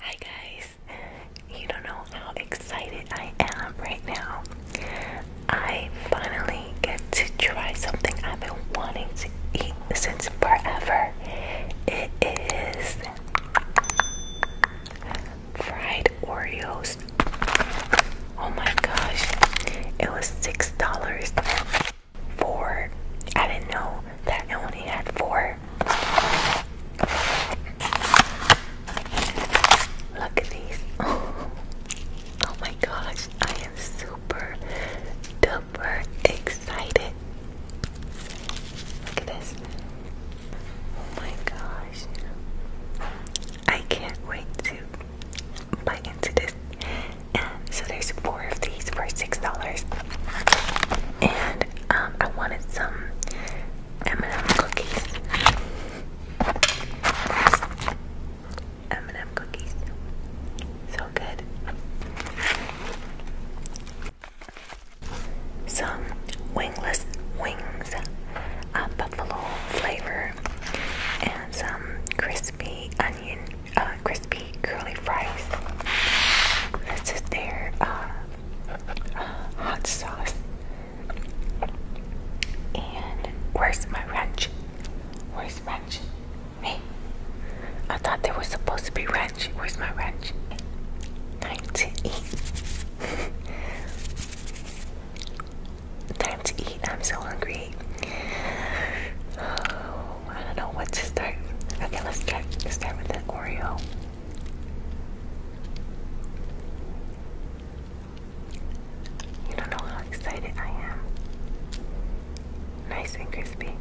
Hi guys, you don't know how excited I am right now. I finally get to try something I've been wanting to eat since forever. It is fried Oreos. Oh my gosh, it was $6. Four. I didn't know that I only had four. Look at these. Oh, my gosh, I am super duper excited. Look at this. Oh my gosh. I can't wait to bite into this so there's four of these for $6. And um, I wanted some M&M cookies. M&M cookies. So good. Some wingless wings, a uh, buffalo flavor, and some crispy onion uh, crispy curly fries. This is their uh, uh, hot sauce. And where's my ranch? Where's ranch? Hey, I thought there was supposed to be ranch. Where's my ranch? Time to eat. Time to eat. I'm so hungry. Oh. I don't know what to start. Okay, let's start. Let's start with the Oreo. You don't know how excited I am. Nice and crispy.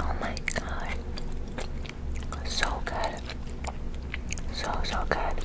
Oh my god. So good. So, so good.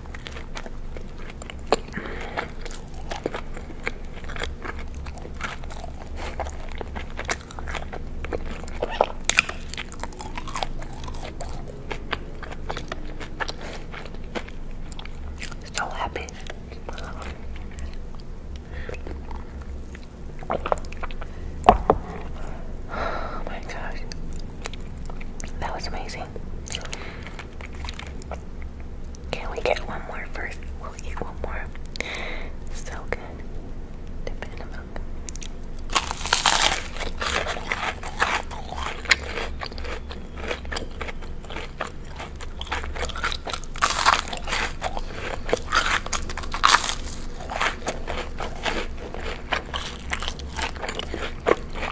So happy. Oh my gosh. That was amazing. Can we get one more first? We'll eat one more. So good.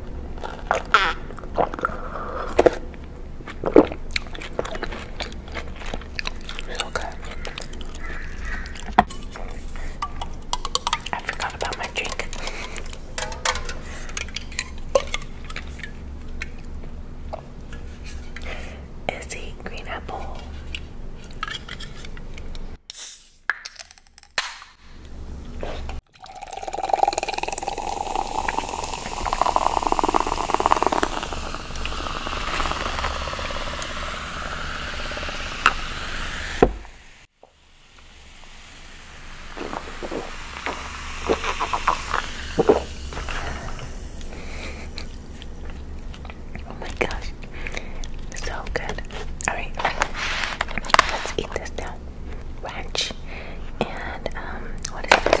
So I forgot about my drink. Is he green apple? Oh my gosh, so good. Alright, let's eat this now. Ranch and um, what is this?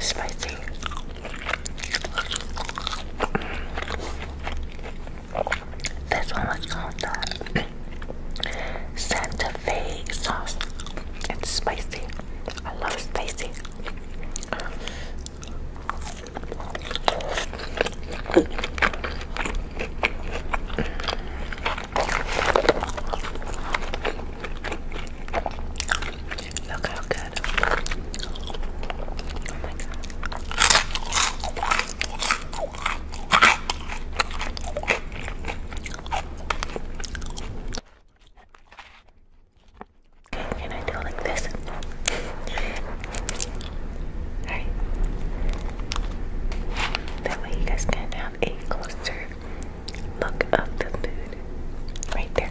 Spicy. Mm. This one was called Santa Fe sauce. It's spicy. I love spicy. Look how good. Oh my god. Can I do it like this? Alright. That way you guys can have a closer look of the food. Right there.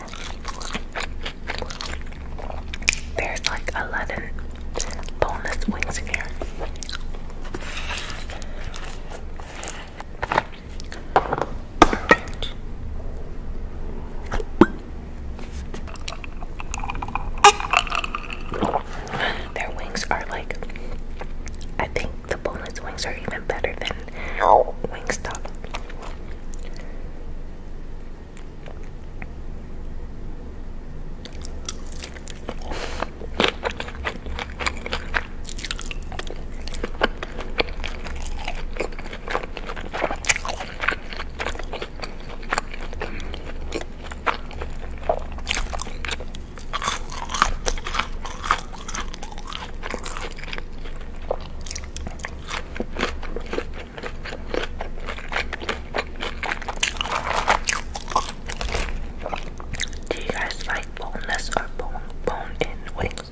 There's like 11 boneless wings in here. Their wings are like, I think the boneless wings are even better than now, Wingstop. Do you guys like boneless or bone bone in wings?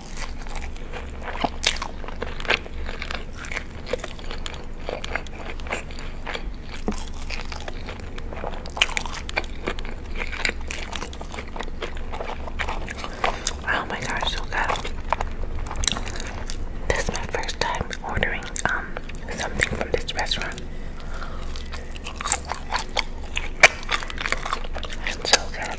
Oh my god, so good. This is my first time ordering um something from this restaurant. It's so good.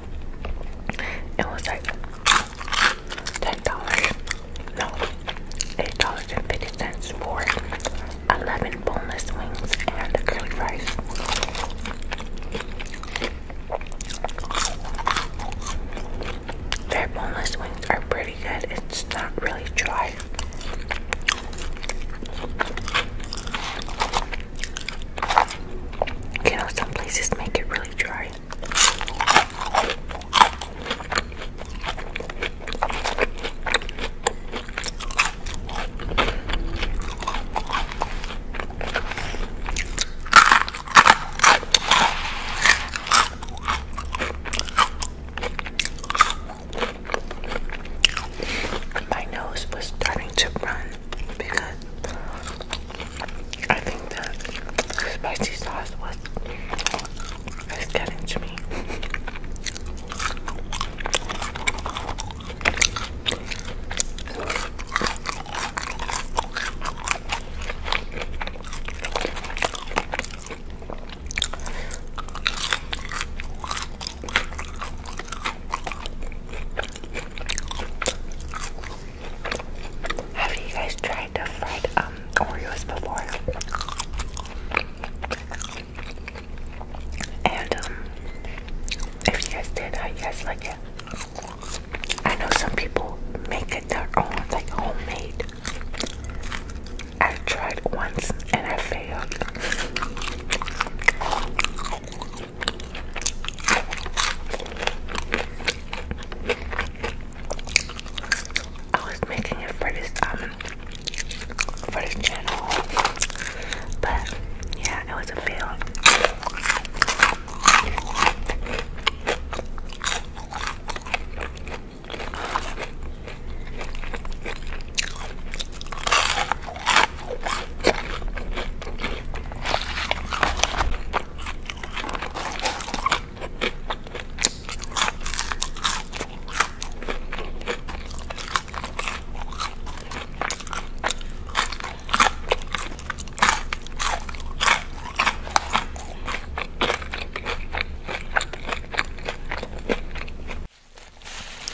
It was like ten dollars, no, eight dollars and fifty cents for eleven boneless wings and the curly fries. Their boneless wings are pretty good. It's not really dry. You know, some places make it really dry. My nose was starting to run because I think that spicy sauce was getting to me. Have you guys tried the fried um Oreos before? And um, if you guys did, how you guys like it? I know some people make it their own, it's like homemade. I tried once and I failed. I was making it for this um for this channel, but yeah, it was a fail.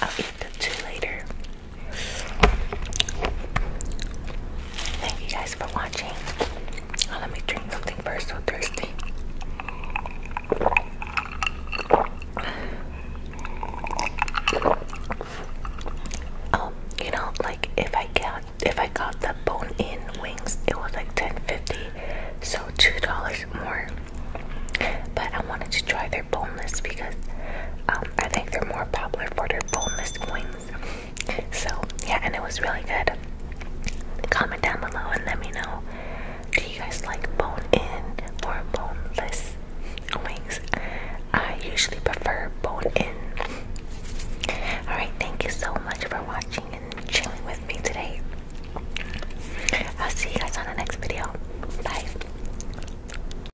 I'll eat the two later. Thank you guys for watching. let me drink something first, so thirsty. Oh, you know, like if I got if I got the bone-in wings, it was like ten fifty, so two dollars more. But I wanted to try their boneless because um, I think they're more popular for their boneless wings. So yeah, and it was really good. Comment down below and let me know. Do you guys like bone-in or boneless wings? I usually prefer bone-in. Alright, thank you so much for watching and chilling with me today. I'll see you guys on the next video. Bye.